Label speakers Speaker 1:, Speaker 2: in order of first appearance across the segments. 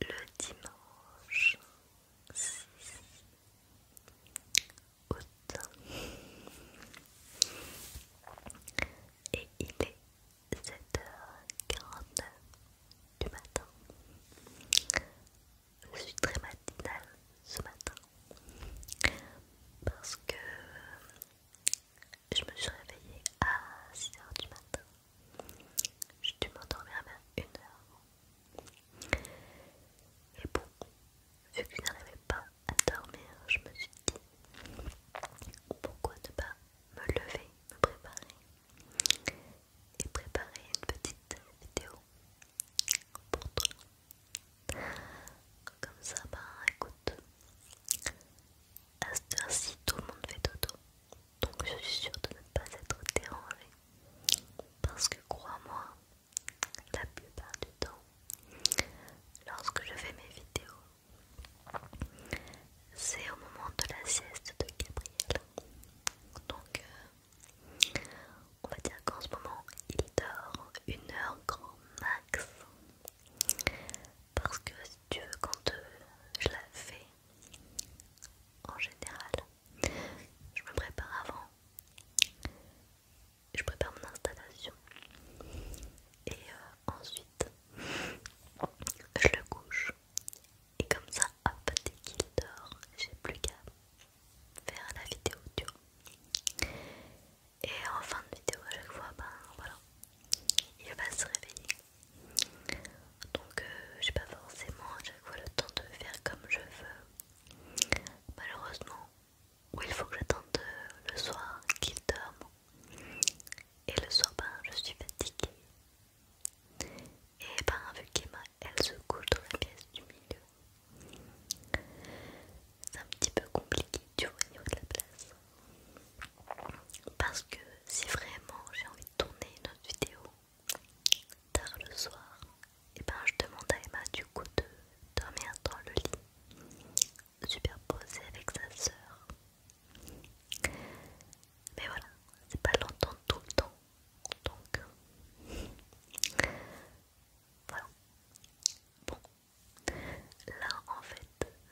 Speaker 1: le dimanche 6 août et il est 7 h 40 du matin. Je suis très matinale ce matin parce que je me suis réveillée à 6h du matin j'ai dû m'endormir à une heure. Et bon, vu que je n'arrivais pas à dormir, je me suis dit pourquoi ne pas me lever, me préparer et préparer une petite vidéo pour toi. Comme ça, bah écoute, à cette heure-ci, tout le monde fait dodo donc je suis sûre de ne pas être dérangée. Parce que crois-moi, la plupart du temps, lorsque je fais mes vidéos, c'est au moment de la sieste de Gabriel. Donc, euh, on va dire qu'en ce moment, il dort une heure grand max. Parce que si tu veux, quand je la fais, en général. Je me prépare avant, je prépare mon installation et euh, ensuite je le couche. Et comme ça, hop, dès qu'il dort, j'ai plus qu'à faire la vidéo Et en fin de vidéo, à chaque fois, ben voilà, il va se réveiller donc euh, j'ai pas forcément à chaque fois le temps de faire comme je veux. Malheureusement, il faut que j'attende euh, le soir qu'il dorme. Et le soir, ben, je suis fatiguée. Et ben, vu qu'Emma, elle se couche dans la pièce du milieu, c'est un petit peu compliqué, du choisir de la place. Parce que si vraiment j'ai envie de tourner une autre vidéo tard le soir, et eh ben je demande à Emma du coup de dormir dans le lit, superposé avec sa sœur. Mais voilà, c'est pas longtemps tout le temps, donc voilà. Bon, là en fait,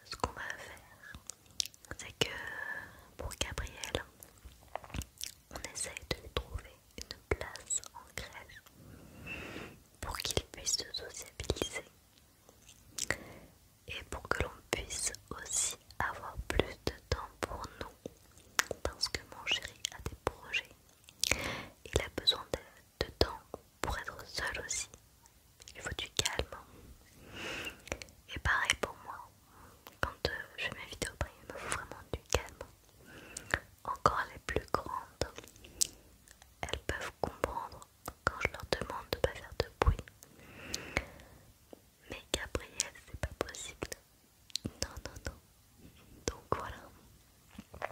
Speaker 1: ce qu'on va faire, c'est que pour Gabriel, on essaye de lui trouver une place en grève pour qu'il puisse se sociabiliser et pour que l'on puisse aussi avoir plus de temps pour nous parce que mon chéri a des projets il a besoin de temps pour être seul aussi il faut du calme. Et pareil pour moi, quand euh, je fais mes vidéos, bah, il me faut vraiment du calme. Encore les plus grandes, elles peuvent comprendre quand je leur demande de ne pas faire de bruit. Mais Gabriel c'est pas possible. Non, non, non. Donc voilà.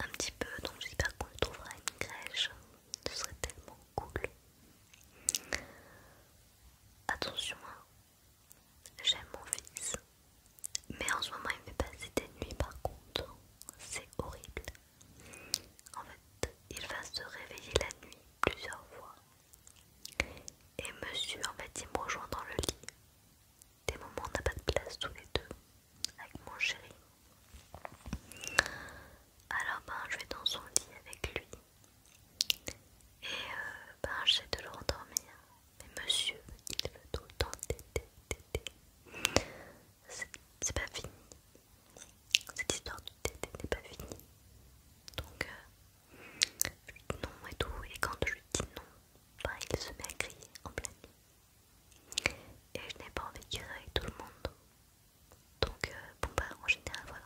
Speaker 1: Un petit peu, donc j'espère qu'on trouvera une crèche. Ce serait tellement cool. Attention, hein. j'aime mon fils. Mais en ce moment, il me fait passer des nuits par contre. C'est horrible. En fait, il va se réveiller la nuit plusieurs fois. Et monsieur, en fait, il me rejoint dans le lit. Des moments, on n'a pas de place tous les deux. Avec mon chéri alors ben je vais dans son lit avec lui et euh, ben, j'essaie de le rendormir mais monsieur il veut tout le temps téter c'est pas fini cette histoire de n'est pas finie donc euh, je lui dis non et tout et quand je lui dis non ben, il se met à crier en pleine nuit et je n'ai pas envie de dire avec tout le monde donc, euh, bon bah en général, voilà.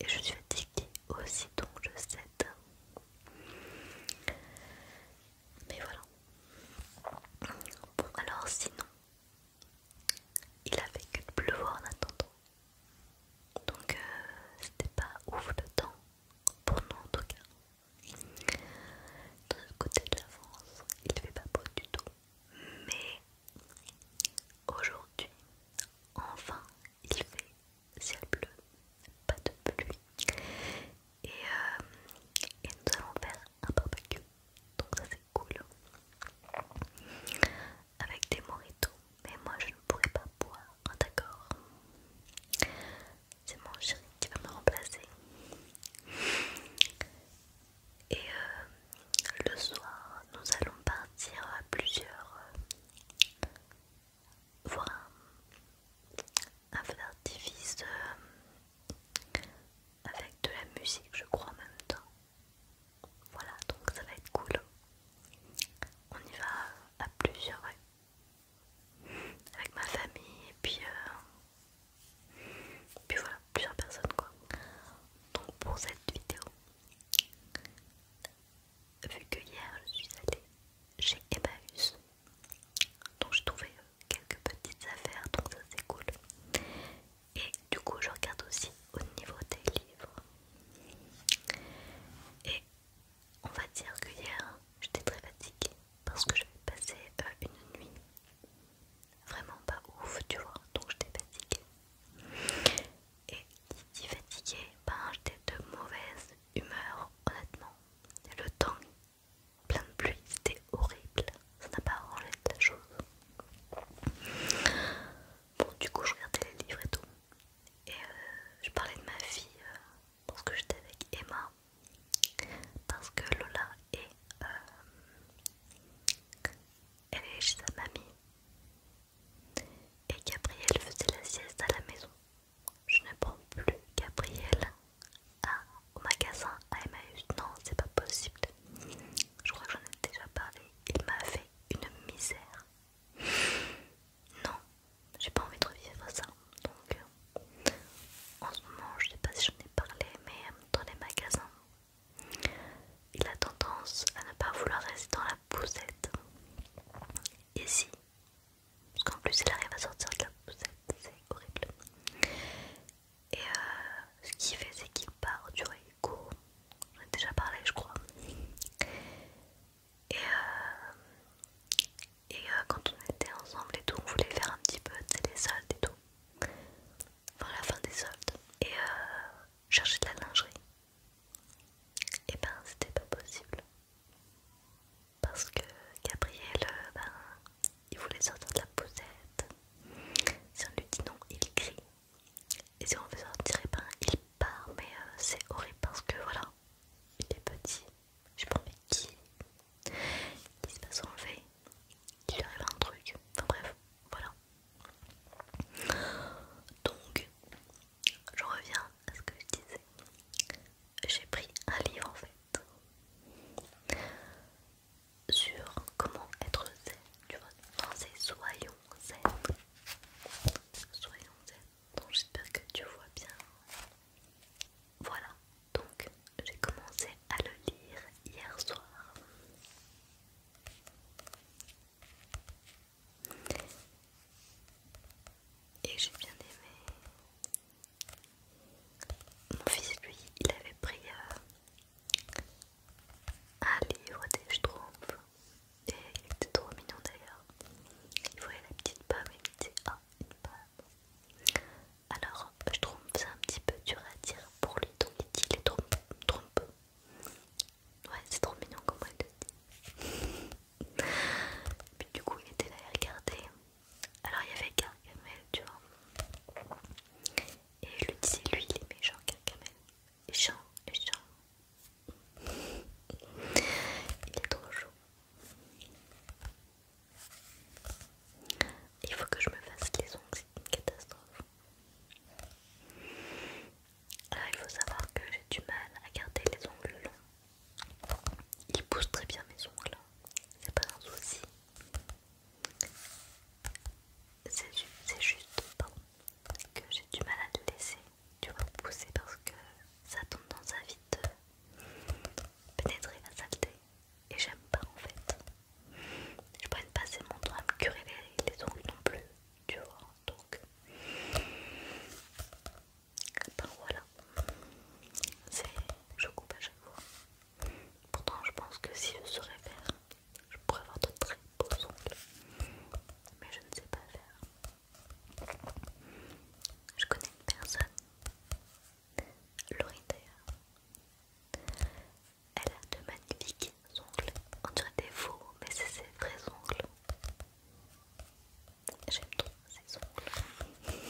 Speaker 1: Et je suis fatiguée aussi, donc je sais Mais voilà. Bon, alors sinon, il avait que de pleuvoir en attendant. Donc, euh, c'était pas ouf le temps, pour nous en tout cas. De ce côté de la France, il fait pas beau du tout. Mais aujourd'hui, enfin, il fait ciel bleu, pas de pluie. Euh, et, nous allons faire un barbecue. Donc ça c'est cool. Avec des mojitos. Mais moi je ne pourrais pas boire, d'accord C'est mon chéri qui va me remplacer. Et euh, le soir, nous allons partir à plusieurs euh, voir un, un de euh, avec de la musique, je crois, en même temps. Voilà, donc ça va être cool. On y va à plusieurs, avec ma famille et puis puis voilà, plusieurs personnes quoi. Donc pour cette vidéo, vu que hier je suis allée chez Emmaüs, donc j'ai trouvé euh, quelques petites affaires, donc ça c'est cool. Et du coup je regarde aussi au niveau des livres. Et on va dire que hier j'étais très fatiguée parce que j'avais passé passer euh, une nuit vraiment pas ouf, tu vois. Donc j'étais fatiguée. Et qui dit fatiguée, ben j'étais de mauvaise humeur, honnêtement. Le temps plein de pluie, c'était horrible. Ça n'a pas arrangé de la chose. Bon, du coup, je regardais les livres et tout. Et euh, je parlais de ma fille euh, parce que j'étais avec Emma parce que Lola est, euh, elle est chez sa mamie et Gabriel faisait la sieste à la maison. Je ne prends plus Gabriel à, au magasin à Emmaüs. Non, c'est pas possible. Je crois que j'en ai déjà parlé. Il m'a fait une misère. Non, j'ai pas envie de revivre ça. Donc, en ce moment, je ne sais pas si j'en ai parlé, mais euh, dans les magasins, il a tendance à ne pas vouloir rester dans la poussette. Et si Parce qu'en plus, il arrive à sortir de la poussette, c'est horrible. Et euh, ce qu'il fait, c'est qu'il part, du vois, J'en ai déjà parlé, je crois. Et, euh, quand on était ensemble et tout, on voulait faire un petit peu des soldes et tout. Enfin, la fin des soldes. Et euh, chercher de la lingerie. Et eh ben, c'était pas possible. Parce que Gabriel, euh, ben, il voulait sortir de la poussette. Si on lui dit non, il crie. Et si on veut sortir, et eh ben, il part. Mais euh, c'est horrible parce que voilà, il est petit. Je me mais qui qui se fait fait, il lui arrive un truc, enfin bref, voilà. Donc, je reviens à ce que je disais. J'ai pris un livre en fait sur comment être zen, tu vois. Enfin, c'est soyons zen. Soyons zen. Donc j'espère que tu vois bien voilà, donc j'ai commencé à le lire hier soir. Et j'ai bien aimé. Mon fils, lui, il avait pris euh, un livre des Schtroumpfs. Et il était trop mignon d'ailleurs. Il voyait la petite pomme et il disait Ah, une pomme. Alors, je trouve ça un petit peu dur à dire pour lui, donc il dit les trop Trompe. Ouais, c'est trop mignon comment il le dit. Puis du coup, il était là à regarder. Alors, il y avait Carcamel, tu vois. Et je lui disais, lui, il aimait genre Gargamel. Et Jean, et Il est trop chaud. Il faut que je me fasse les ongles, c'est une catastrophe. Alors, il faut savoir que j'ai du mal à garder les ongles longs. Ils poussent très bien mes ongles, hein. c'est pas un souci. C'est juste que j'ai du mal à les laisser tu vois, pousser parce que ça tombe dans tendance à vite pénétrer la saleté et j'aime pas en fait. Je prenne pas assez mon temps à me curer les, ongles non plus, tu vois. Donc, ben voilà. voilà, je coupe à chaque fois. Pourtant, je pense que si je saurais faire, je pourrais avoir de très beaux ongles, mais je ne sais pas faire. Je connais une personne d'ailleurs, Elle a de magnifiques ongles. On dirait des faux, mais c'est ses vrais ongles. J'aime trop ses ongles.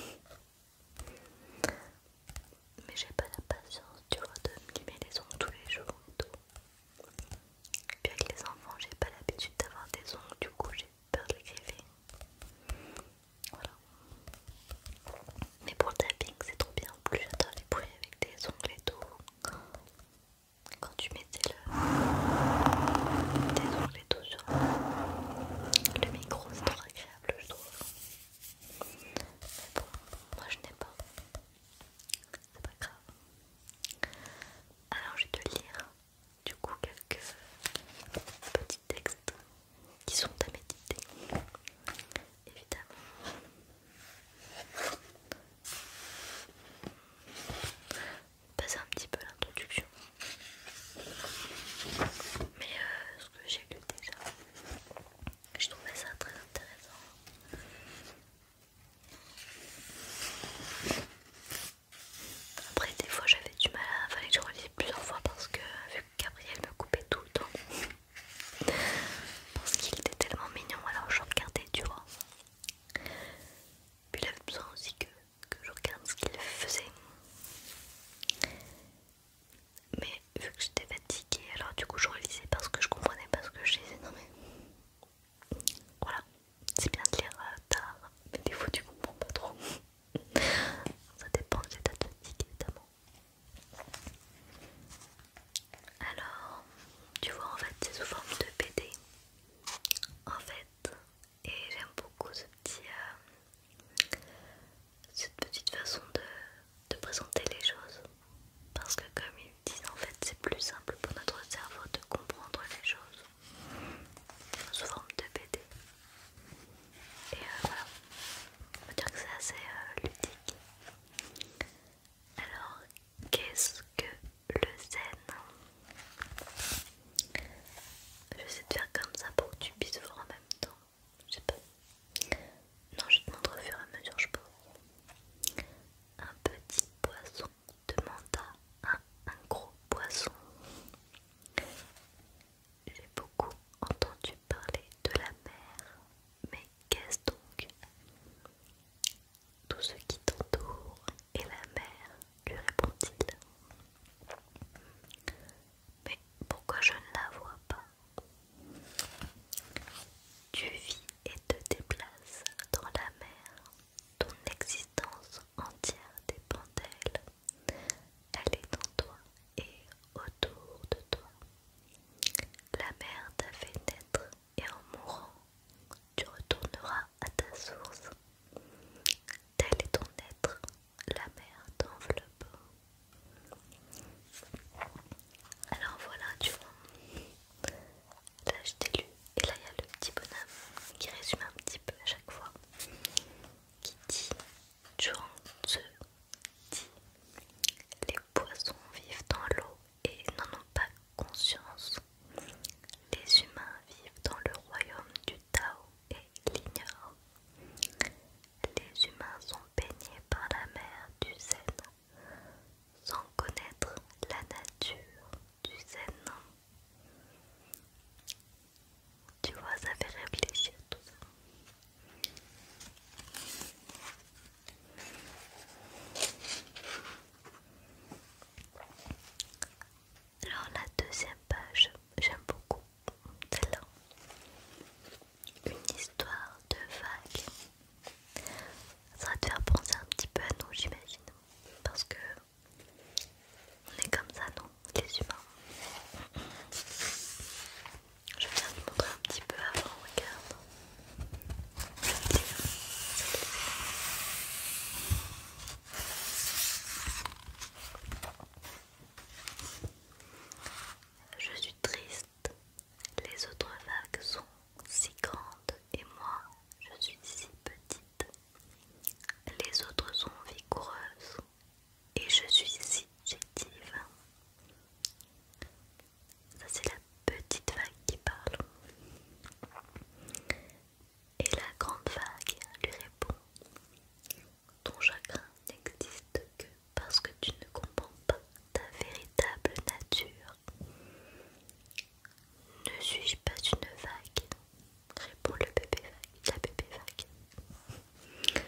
Speaker 1: Mais j'ai pas la patience, tu vois, de me les ongles tous les jours et Puis avec les enfants, j'ai pas l'habitude d'avoir des ongles, du coup j'ai peur de l'écriver, Voilà. Mais pour le tapping, c'est trop bien. Plus j'adore les bruits avec des ongles et tout. Quand tu mettais le... tes ongles et tout sur le, le micro, c'est trop agréable, je trouve. Mais bon, moi je n'ai pas. C'est pas grave. Alors, je vais te lire du coup quelques petits textes qui sont à méditer, évidemment. Passer un petit peu l'introduction, mais euh, ce que j'ai lu déjà, je trouvais ça très intéressant. Après des fois j'avais du mal à... fallait que je relise plusieurs fois parce que Gabriel me coupait tout le temps parce qu'il était tellement mignon, alors je regardais, tu vois. Puis il avait besoin aussi que, je regarde ce qu'il faisait. Mais vu que j'étais fatiguée, alors du coup je réalisais parce que je comprenais pas ce que je disais. Non mais voilà, c'est bien de lire euh, tard, mais des fois tu comprends pas trop. Ça dépend de l'état de évidemment. Alors, tu vois en fait c'est sous forme de BD en fait et j'aime beaucoup euh, cette petite façon de, de présenter les choses parce que comme ils disent en fait c'est plus simple pour notre cerveau de comprendre les choses sous forme de BD et euh, voilà, on va dire que c'est assez euh, ludique. Alors, qu'est-ce que le zen Je vais essayer de faire comme ça pour que tu puisses voir en même temps. Je sais pas. Non, je vais te montrer au fur et à mesure, je peux. Un petit poisson de manta à un gros poisson j'ai beaucoup entendu parler de la mer, mais qu'est-ce donc Tout ce qui t'entoure est la mer, lui répond-il. Mais pourquoi je ne la vois pas Tu vis et te déplaces dans la mer. Ton existence entière dépend d'elle. Elle est en toi et autour de toi. La mer t'a fait naître et en mourant, tu retourneras à ta source. Tel est ton être, la mer t'enveloppe. Alors voilà, tu vois. Là je t'ai lu et là il y a le petit bonhomme qui résume un petit peu à chaque fois. Kitty, John dit Les poissons vivent dans l'eau et n'en ont pas conscience. Les humains vivent dans le royaume du Tao et l'ignorent. Les humains sont baignés par la mer du Zen sans connaître la nature du Zen. Tu vois, ça fait réfléchir tout ça. Alors la deuxième page, j'aime beaucoup celle-là. Une histoire de vague. Ça va te faire penser un petit peu à nous, j'imagine. Parce que on est comme ça, non Les humains. Je viens de montrer un petit peu avant, regarde. Je suis triste. Les autres vagues sont si grandes et moi, je suis si petite. Les autres sont vigoureuses et je suis subjective. Ça c'est la petite vague qui parle. Et la grande vague lui répond Ton chagrin n'existe que parce que tu ne comprends pas ta véritable nature. Ne suis-je pas une vague Répond le bébé vague, la bébé vague.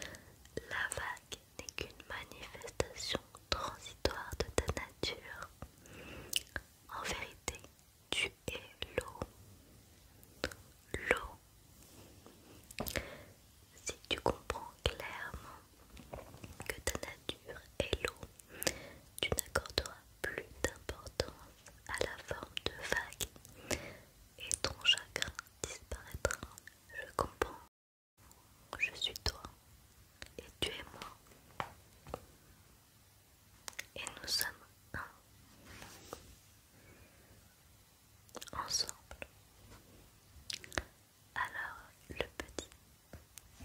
Speaker 1: La vague n'est qu'une manifestation transitoire de ta nature. En vérité, tu es l'eau. L'eau. Si tu comprends clairement que ta nature est l'eau, tu n'accorderas plus d'importance à la forme de vague et ton chagrin disparaîtra. Je comprends. Je suis toi et tu es moi. Et nous sommes un. Ensemble. Alors le petit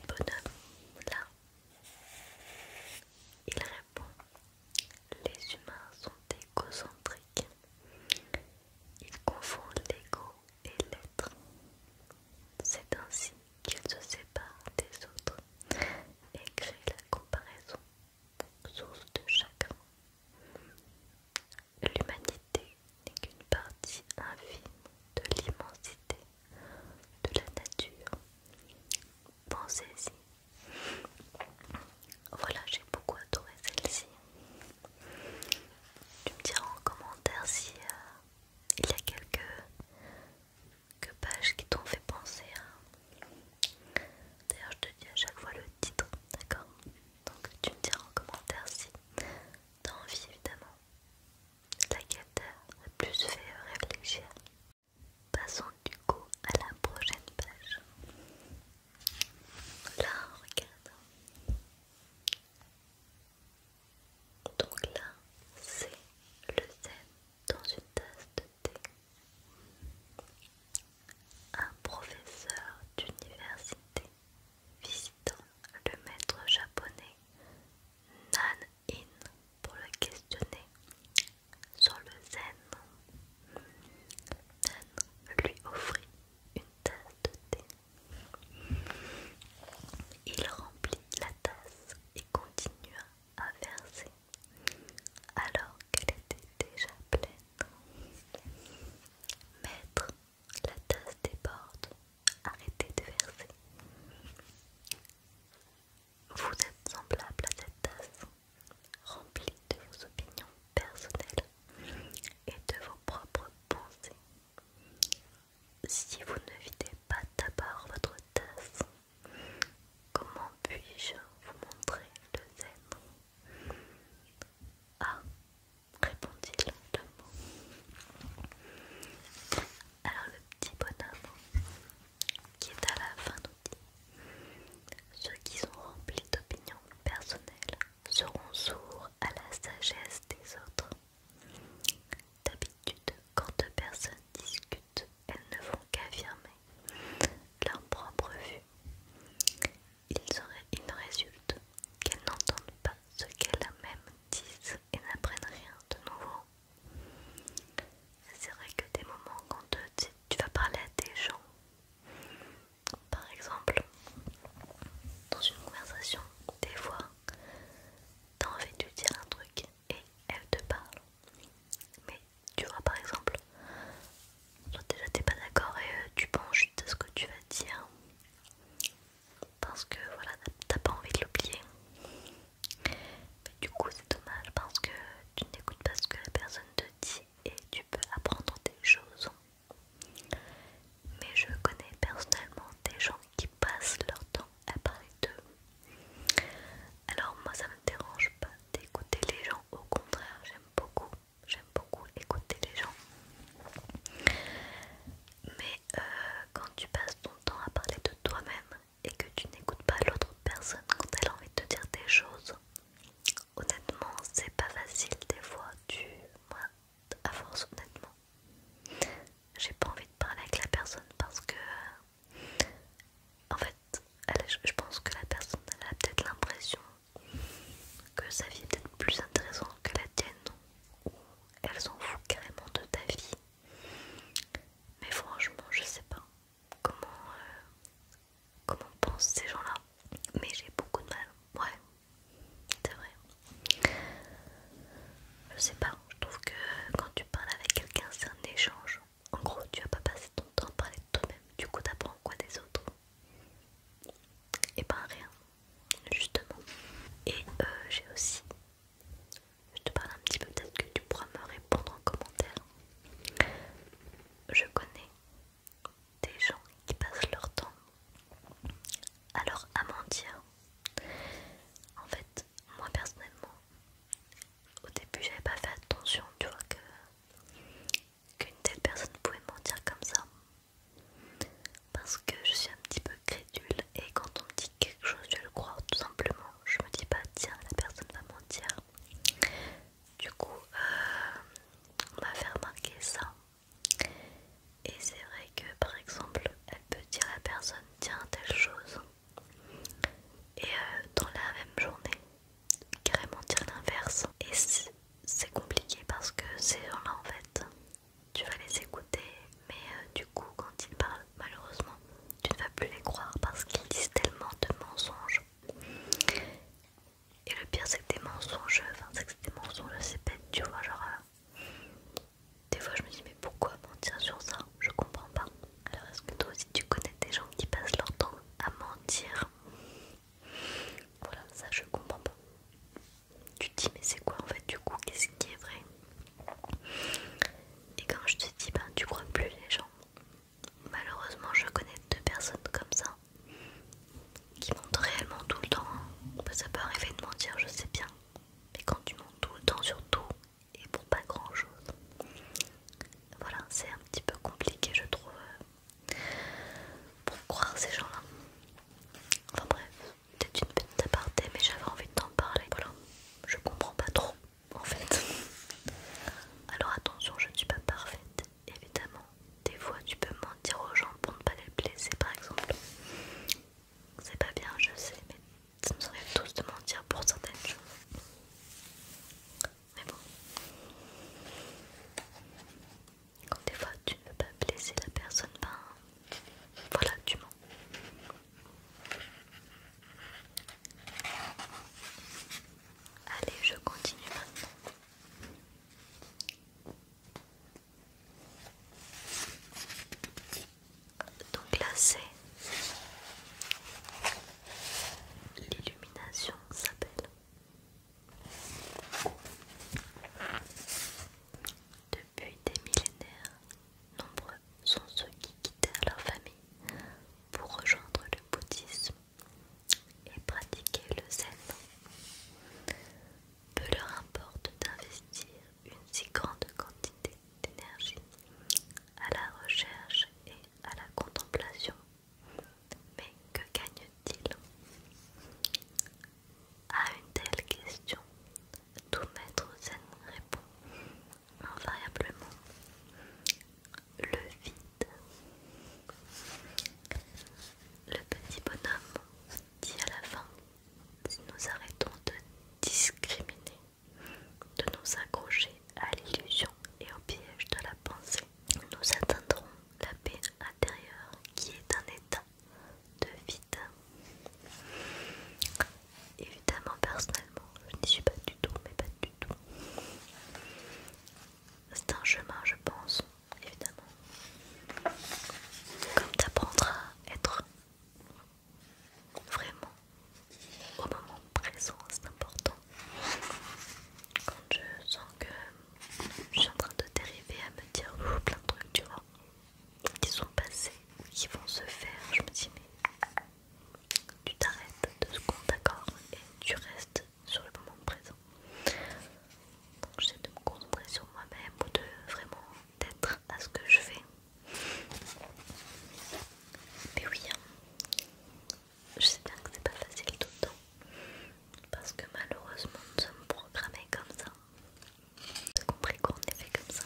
Speaker 1: bonhomme là, il répond les humains sont égocentriques. Ils confondent l'ego et l'être. C'est ainsi qu'ils se séparent des autres et créent la comparaison, source de chagrin. L'humanité n'est qu'une partie infime de l'immensité de la nature, pensez ici. Voilà, j'ai beaucoup adoré celle-ci. Tu me diras en commentaire si euh, il y a quelques, pages qui t'ont fait penser D'ailleurs, je te dis à chaque fois le titre, d'accord Donc, tu me diras en commentaire si t'as envie, évidemment, laquelle quête le plus fait réfléchir. Passons du coup à la prochaine page. Là, regarde. Donc là, c'est le zen dans une tasse de thé. Un professeur d'université visitant le maître japonais Nan-in pour le questionner sur le zen. lui offrit une tasse de thé. Il remplit la tasse et continua à verser alors qu'elle était déjà pleine. Maître, la tasse déborde. Arrêtez de verser. Vous êtes semblable à cette tasse, remplie de vos opinions personnelles et de vos propres pensées. Si vous ne videz pas d'abord votre tasse, comment puis-je vous montrer le zèbre Ah, répondit lentement. Alors le petit bonhomme qui est à la fin nous dit Ceux qui sont remplis d'opinions personnelles seront sourds à la sagesse des autres. D'habitude, quand deux personnes discutent, elles ne font qu'affirmer leur propre vue. Il résulte qu'elles n'entendent pas ce qu'elles-mêmes disent et n'apprennent rien de nouveau. C'est vrai que des moments quand euh, tu, vas parler à des gens, par exemple, dans une conversation, des fois, t'as envie de lui dire un truc et elle te parle. Mais tu vois, par exemple, toi déjà t'es pas d'accord et euh, tu penses juste à ce que tu vas dire parce que voilà, t'as pas envie de l'oublier. Mais du coup, c'est dommage parce que tu n'écoutes pas ce que la personne te dit et tu peux apprendre des choses. Mais je connais personnellement des gens qui passent leur temps à parler d'eux. Alors moi, ça me dérange pas d'écouter les gens. Au contraire, j'aime beaucoup, j'aime beaucoup écouter les gens. Mais euh, quand tu passes ton temps à parler de toi-même et que tu n'écoutes pas l'autre personne quand elle a envie de te dire des choses, honnêtement, c'est pas facile des fois. Tu, moi, à force, honnêtement, j'ai pas envie de parler avec la personne parce que, euh, en fait, je pense que la personne elle a peut-être l'impression que sa vie est peut-être plus intéressante que la tienne ou elle s'en fout carrément de ta vie. Mais franchement, je sais pas comment, euh, comment pensent ces gens-là. Mais j'ai beaucoup de mal. Ouais, c'est vrai. Je sais pas, je trouve que quand tu parles avec quelqu'un, c'est un échange. En gros, tu vas pas passer ton temps à parler de toi-même. Du coup, t'apprends quoi des autres Et eh pas ben, rien, justement. Et euh, j'ai aussi je te parle un petit peu, peut-être que tu pourras me répondre en commentaire. Je connais des gens qui passent leur temps à leur En fait, moi personnellement, au début j'avais pas fait attention, tu vois, qu'une telle personne pouvait mentir comme ça. Parce que je suis un petit peu crédule et quand on me dit quelque chose, je le croire tout simplement. Je me dis pas, tiens, la personne va mentir. Du coup, euh, on va faire marquer ça. Et c'est vrai que par exemple, elle peut dire à la personne, tiens, telle chose. Et euh, dans la même journée, carrément dire l'inverse. Et c'est compliqué parce que ces gens-là, en fait, tu vas les écouter, mais euh, du coup, quand ils parlent, malheureusement, tu ne vas plus les croire parce qu'ils disent tellement de mensonges. Et le pire, c'est que des mensonges, enfin, c'est que des mensonges, c'est bête, tu vois. Genre, euh, des fois, je me dis, mais pourquoi mentir sur ça Je comprends pas. Alors, est-ce que toi aussi, tu connais des gens qui passent leur temps à mentir Voilà, ça, je comprends pas. Tu dis, mais c'est quoi en fait, du coup, qu'est-ce qui est vrai et quand je te dis, ben tu crois plus les gens. Malheureusement, je connais deux personnes comme ça qui mentent réellement tout le temps. Hein. Ben, ça peut arriver de mentir, je sais bien. Mais quand tu montes tout le temps sur tout et pour pas grand chose, voilà, c'est un petit peu compliqué, je trouve, euh, pour croire ces gens-là. Enfin bref, peut une petite aparté, mais j'avais envie de t'en parler. Voilà, je comprends pas trop en fait. Alors attention, je ne suis pas parfaite, évidemment. Des fois, tu peux mentir aux gens pour ne pas les blesser, par exemple. C'est pas bien, je sais, mais ça me arrive tous de mentir pour certaines choses. Mais bon. Quand des fois tu ne veux pas blesser la personne, ben voilà, tu mens. Allez, je continue maintenant. Donc là, c'est l'illumination s'appelle depuis des millénaires, nombreux sont ceux qui quittèrent leur famille pour rejoindre le bouddhisme et pratiquer le zen. Peu leur importe d'investir une si grande quantité d'énergie à la recherche et à la contemplation. Mais que gagne-t-il À une telle question, tout maître zen répond invariablement le vide. Le petit bonhomme dit à la fin, si nous arrêtons de discriminer, de nous accrocher à l'illusion et au piège de la pensée, nous atteindrons la paix intérieure qui est un état de vide Évidemment, personnellement, je n'y suis pas du tout, mais pas du tout. C'est un chemin, je pense, évidemment. Comme t'apprendras à être vraiment au moment présent, c'est important. Quand je sens que je suis en train de dériver à me dire plein de trucs, tu vois qui sont passés qui vont se faire, je me dis mais tu t'arrêtes de ce compte d'accord et tu restes sur le moment présent. Donc j'essaie de me concentrer sur moi-même ou de vraiment d'être à ce que je fais. Mais oui, hein. je sais bien que c'est pas facile tout le temps parce que malheureusement nous sommes programmés comme ça. Tu compris qu'on est fait comme ça.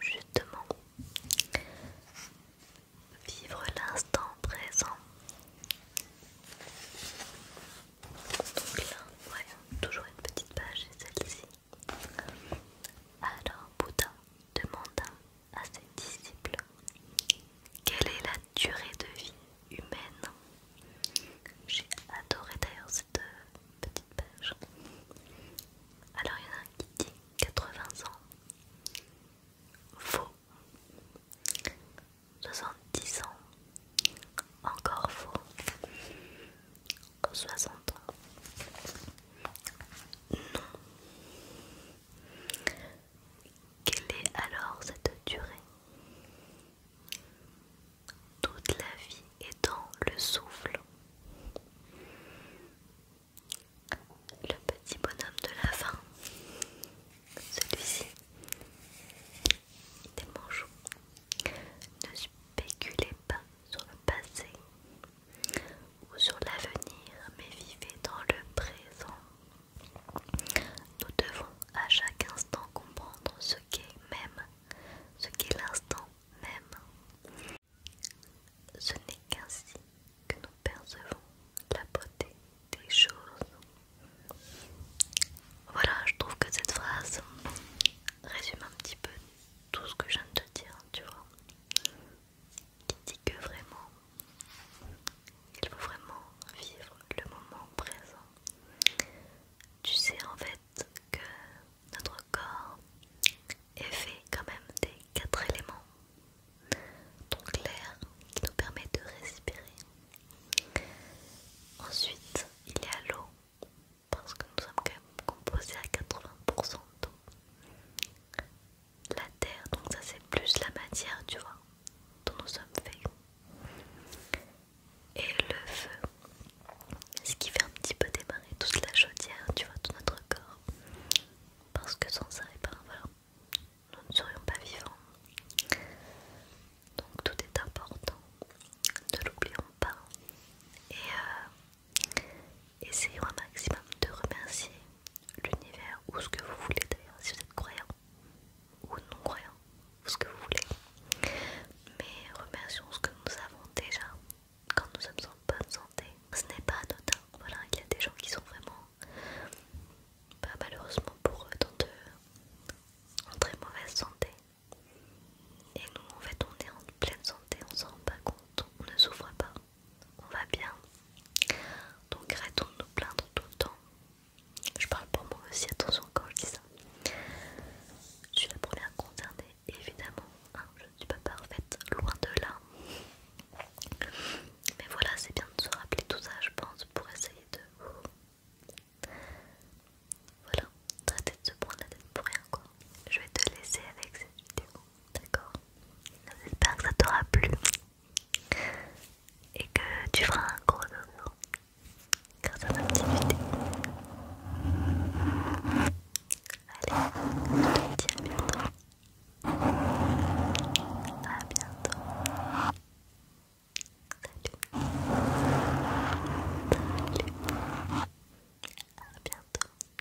Speaker 1: Justement, vivre l'instant présent. Donc là, ouais, toujours une petite page, celle-ci. Alors Bouddha demande à ses disciples Quelle est la durée de vie humaine J'ai adoré d'ailleurs cette euh, petite page. Alors il y en a un qui dit 80 ans. Faux. 70 ans. Encore faux. 60 ans. Non. Quelle est alors cette durée Toute la vie est dans le souffle. Le petit bonhomme de la fin, celui-ci, des mangeons, ne spéculez pas sur le passé, ou sur l'avenir, mais vivez dans le présent. Nous devons à chaque instant comprendre ce qu'est même, ce qu'est l'instant même. Ce n'est qu'ainsi que nous percevons la beauté des choses. Voilà, je trouve que cette phrase résume un petit peu tout ce que je viens de te dire, tu vois qui dit que vraiment, il faut vraiment vivre le moment présent. Tu sais en fait que notre corps est fait quand même des quatre éléments. Donc l'air qui nous permet de respirer. Ensuite, il y a l'eau, parce que nous sommes quand même composés à 80% d'eau la terre, donc ça c'est plus la matière, tu vois, dont nous sommes faits. Et le feu, ce qui fait un petit peu démarrer toute la chaudière, tu vois, tout notre corps. Parce que sans ça, et eh ben voilà, nous ne serions pas vivants. Donc tout est important, ne l'oublions pas. Et euh, Essayons un maximum de remercier l'univers ou ce que vous voulez d'ailleurs, si vous êtes croyant ou non croyant, ou ce que vous voulez. Mais remercions ce que nous avons déjà quand nous sommes en bonne santé. Ce n'est pas anodin, voilà, il y a des gens qui sont vraiment, malheureusement pour eux, en très mauvaise santé. Et nous, en fait, on est en pleine santé, on ne s'en rend pas compte, on ne souffre pas on va bien. Donc arrêtons de nous plaindre tout le temps. Je parle pour moi aussi, attention quand je dis ça. Je suis la première concernée, évidemment. Hein, je ne suis pas parfaite, loin de là. Mais voilà, c'est bien de se rappeler tout ça, je pense, pour essayer de... Voilà, traiter de se prendre la tête pour rien, quoi. Je vais te laisser avec cette vidéo d'accord J'espère que ça t'aura plu et que tu feras un gros dodo grâce à ma petite idée. Allez, je te dis à bientôt. À bientôt. Salut. Salut. À bientôt.